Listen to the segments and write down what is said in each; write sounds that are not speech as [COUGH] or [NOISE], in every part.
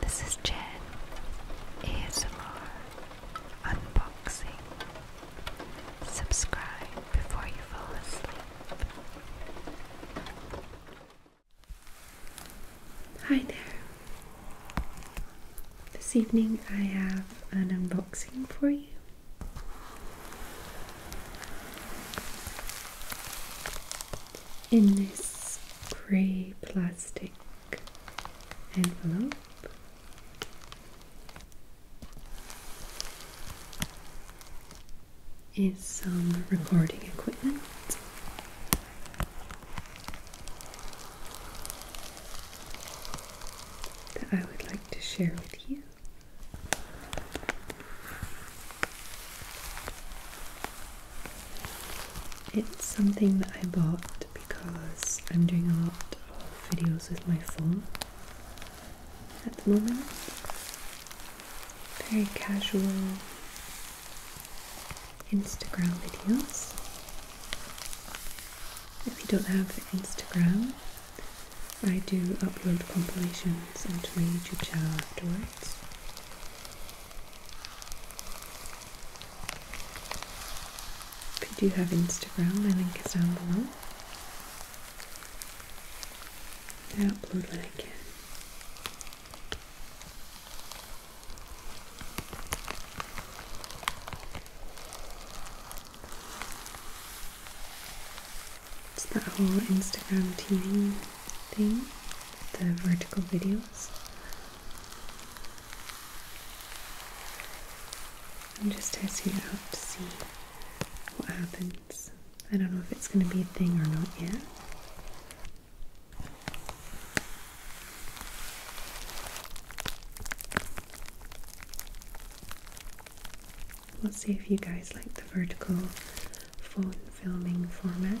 This is Jen ASMR Unboxing. Subscribe before you fall asleep. Hi there. This evening I have an unboxing for you in this grey plastic envelope. Is some recording equipment. That I would like to share with you. It's something that I bought because I'm doing a lot of videos with my phone at the moment. Very casual Instagram videos. If you don't have Instagram, I do upload compilations onto my YouTube channel afterwards. If you do have Instagram, my link is down below. I upload when I It's that whole Instagram TV thing the vertical videos. I'm just testing out to see what happens. I don't know if it's going to be a thing or not yet. We'll see if you guys like the vertical phone filming format.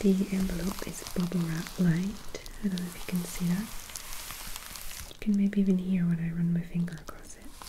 The envelope is bubble wrap light. I don't know if you can see that. You can maybe even hear when I run my finger across it.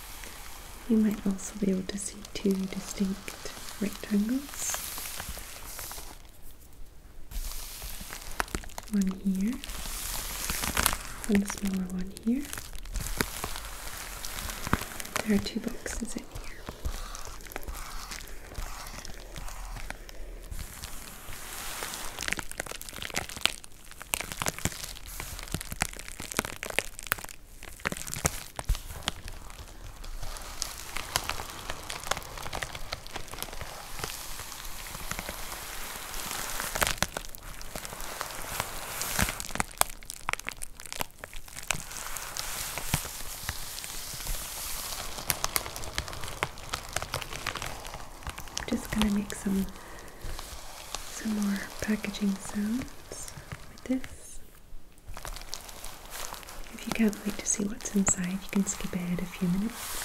You might also be able to see two distinct rectangles. One here, one smaller one here. There are two boxes in here. I'm Just gonna make some some more packaging sounds with this. If you can't wait to see what's inside, you can skip ahead a few minutes.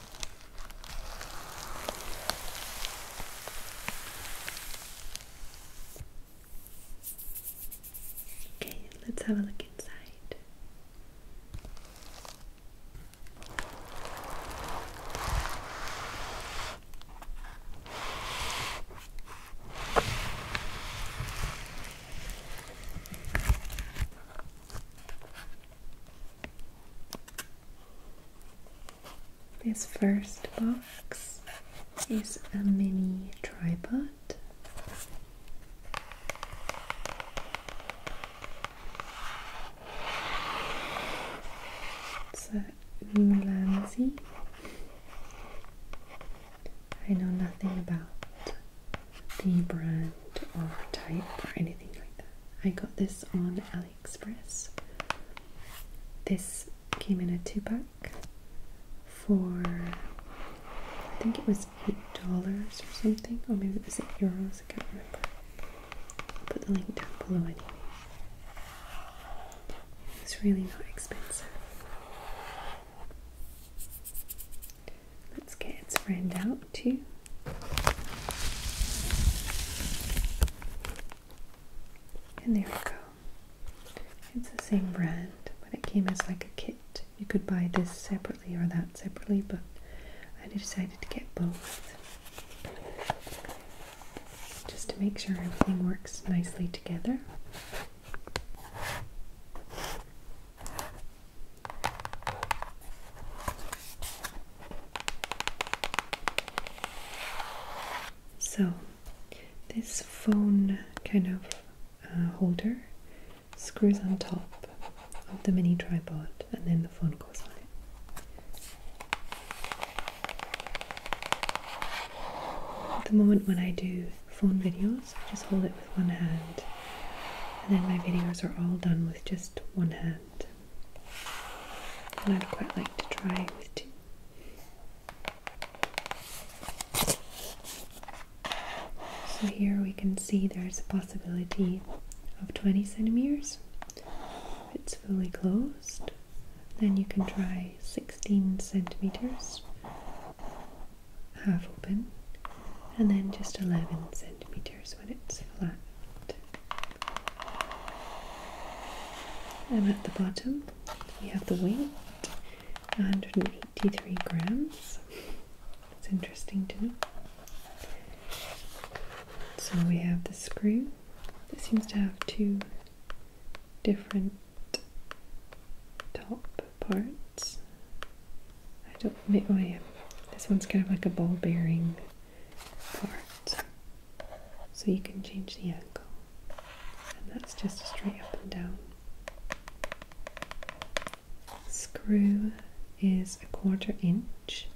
Okay, let's have a look inside. This first box is a mini tripod. It's a I know nothing about the brand or type or anything like that. I got this on a Express. This came in a two pack for I think it was eight dollars or something, Oh, maybe it was eight euros, I can't remember. put the link down below anyway. It's really not expensive. Let's get its brand out too. And there we go. It's the same brand, but it came as like a kit. You could buy this separately or that separately, but I decided to get both. Just to make sure everything works nicely together. So, this phone kind of uh, holder screws on top of the mini tripod, and then the phone goes on it. At the moment when I do phone videos, I just hold it with one hand, and then my videos are all done with just one hand. And I'd quite like to try with two. So here we can see there's a possibility of 20 centimeters. it's fully closed, then you can try 16 centimeters, half open, and then just 11 centimeters when it's flat. And at the bottom, we have the weight 183 grams. It's interesting to know. So we have the screw that seems to have two different top parts. I don't. Oh yeah, this one's kind of like a ball bearing parts. So you can change the angle. And that's just straight up and down. Screw is a quarter inch.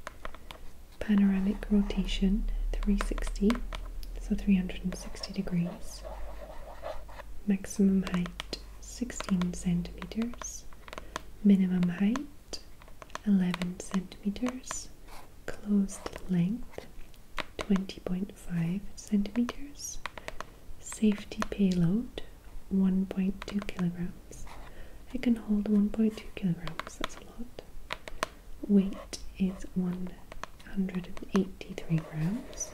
Panoramic rotation 360, so 360 degrees. Maximum height 16 centimeters. Minimum height 11 centimeters, closed length 20.5 centimeters, safety payload 1.2 kilograms. It can hold 1.2 kilograms, that's a lot. Weight is 183 grams.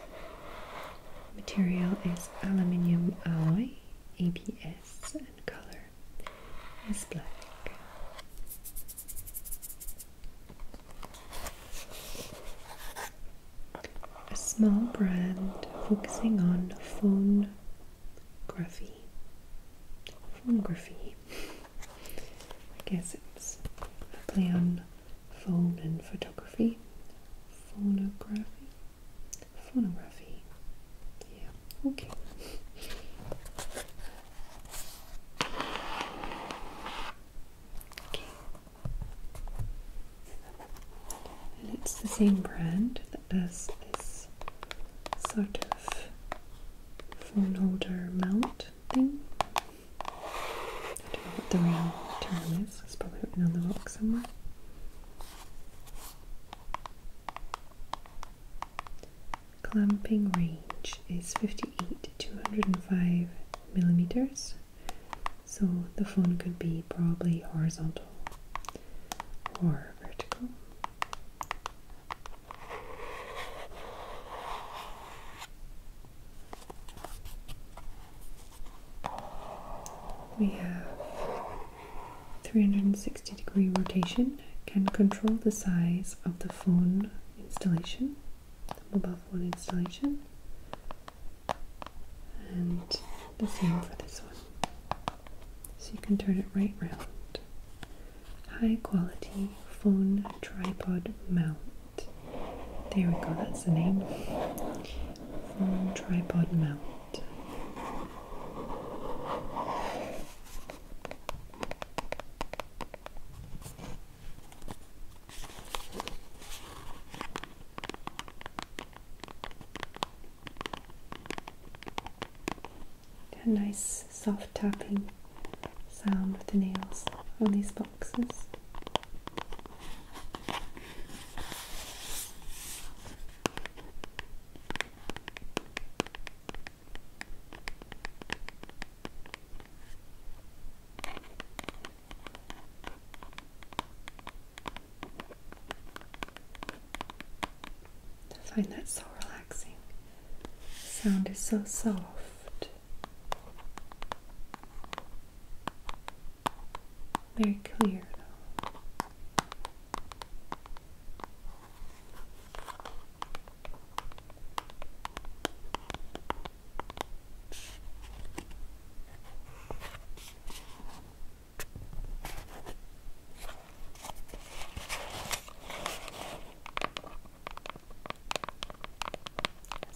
Material is aluminium alloy, ABS, and color it's black. A small brand focusing on phonography. Phonography. I guess it's a play on phone and photography. Phonography. Phonography. Yeah, okay. Okay. And it's the same brand that does this sort of phone holder mount thing. I don't know what the real term is, it's probably written on the rock somewhere. Clamping range is 58 to 205 millimeters, so the phone could be probably horizontal or vertical. We have 360 degree rotation can control the size of the phone installation, mobile phone installation, and the same for this one. So you can turn it right round. High quality phone tripod mount. There we go, that's the name. Phone tripod mount. A nice soft tapping sound with the nails on these boxes. I find that so relaxing. The sound is so soft. Very clear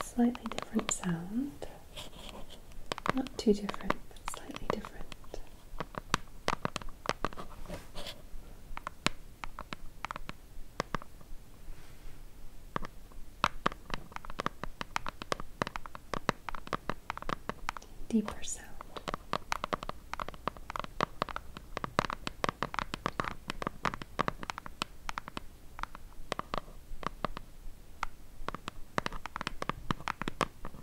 a slightly different sound. Not too different, but slightly different. Deeper sound.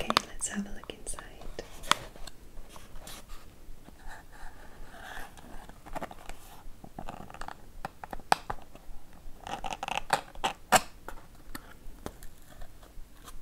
Okay, let's have a look inside.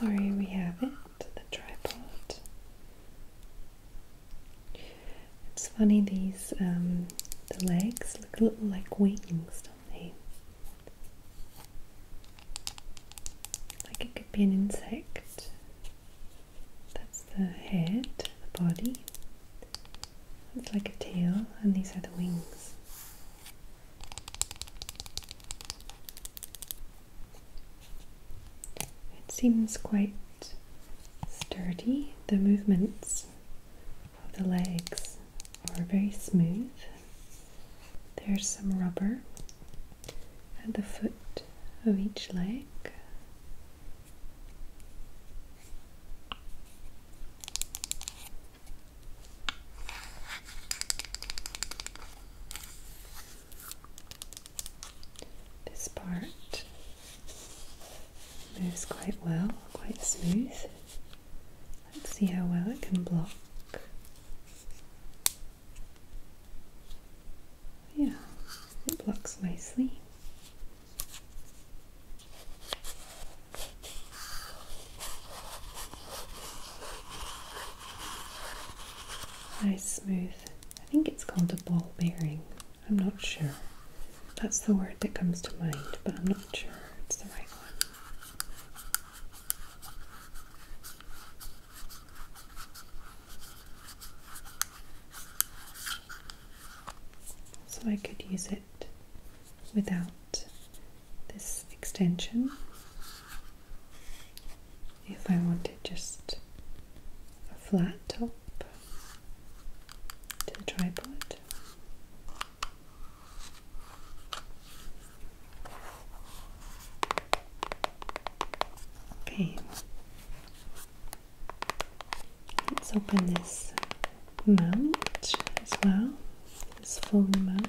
Sorry, we have it, the tripod. It's funny these um, the legs look a little like wings, something. Like it could be an insect. That's the head, the body. It's like a tail, and these are the wings. It seems quite sturdy, the movements the legs are very smooth. There's some rubber at the foot of each leg. This part moves quite well, quite smooth. Let's see how well it can block. Yeah, it blocks nicely. Nice smooth. I think it's called a ball bearing. I'm not sure. That's the word that comes to mind, but I'm not sure it's the right one. So I could use it without this extension if I wanted just a flat top to the tripod. Okay, let's open this mount as well, this full mount.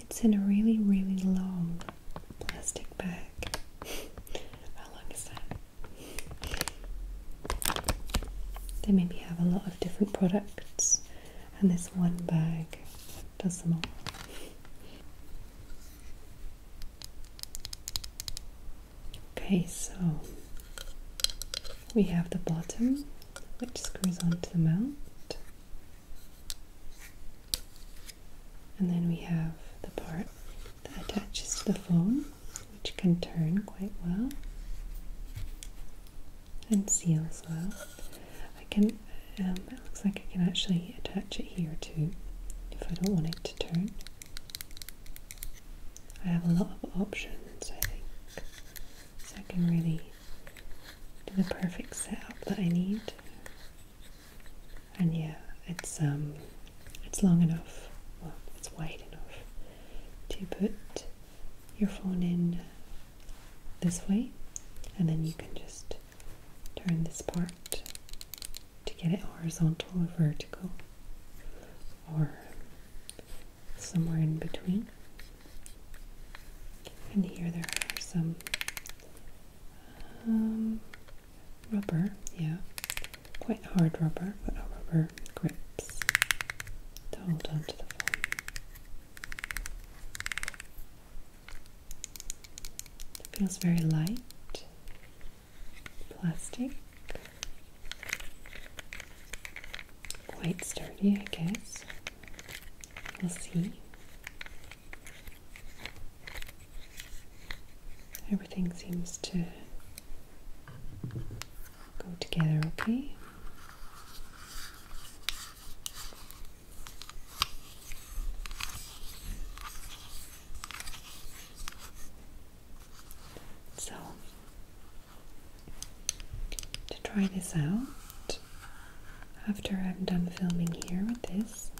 It's in a really, really long plastic bag. [LAUGHS] How long is that? They maybe have a lot of different products, and this one bag does them all. Okay, so we have the bottom which screws onto the mount, and then we have the part that attaches to the phone, which can turn quite well and seals well. I can, um, it looks like I can actually attach it here too if I don't want it to turn. I have a lot of options, I think. So I can really do the perfect setup that I need. And yeah, it's um it's long enough, well, it's wide enough to put your phone in this way and then you can just turn this part to get it horizontal or vertical or somewhere in between. And here there are some um, rubber, yeah, quite hard rubber, but rubber grips to hold onto the foam. It feels very light plastic. Quite sturdy, I guess. We'll see. Everything seems to go together okay. So, to try this out, after I'm done filming here with this,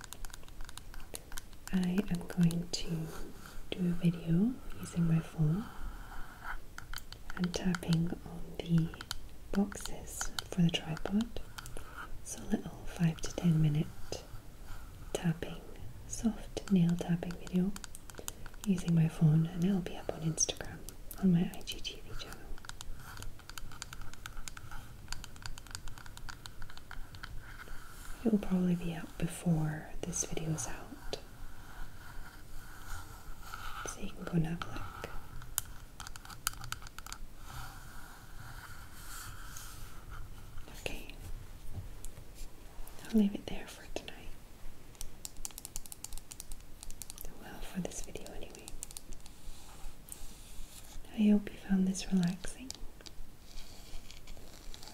I am going to do a video using my phone and tapping on the boxes for the tripod. So, a little 5 to 10 minute tapping, soft nail tapping video using my phone, and it'll be up on Instagram on my IGTV channel. It will probably be up before this video is out. So you can go and have a look. Okay, I'll leave it there for tonight. Well, for this video, anyway. I hope you found this relaxing.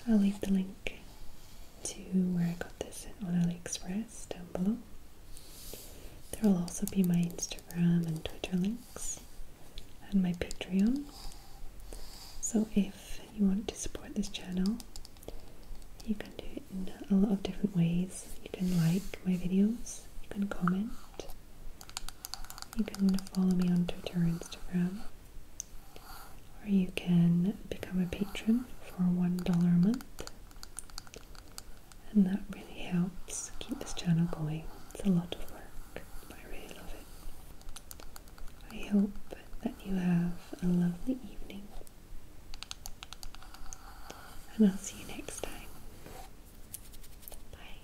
I'll leave the link to where I got this on AliExpress down below. There will also be my Instagram and Twitter links and my Patreon. So if you want to support this channel, you can do it in a lot of different ways. You can like my videos, you can comment, you can follow me on Twitter or Instagram, or you can become a patron for $1 a month. And that really helps keep this channel going. It's a lot of work. I really love it. I hope that you have a lovely evening, and I'll see you next time. Bye.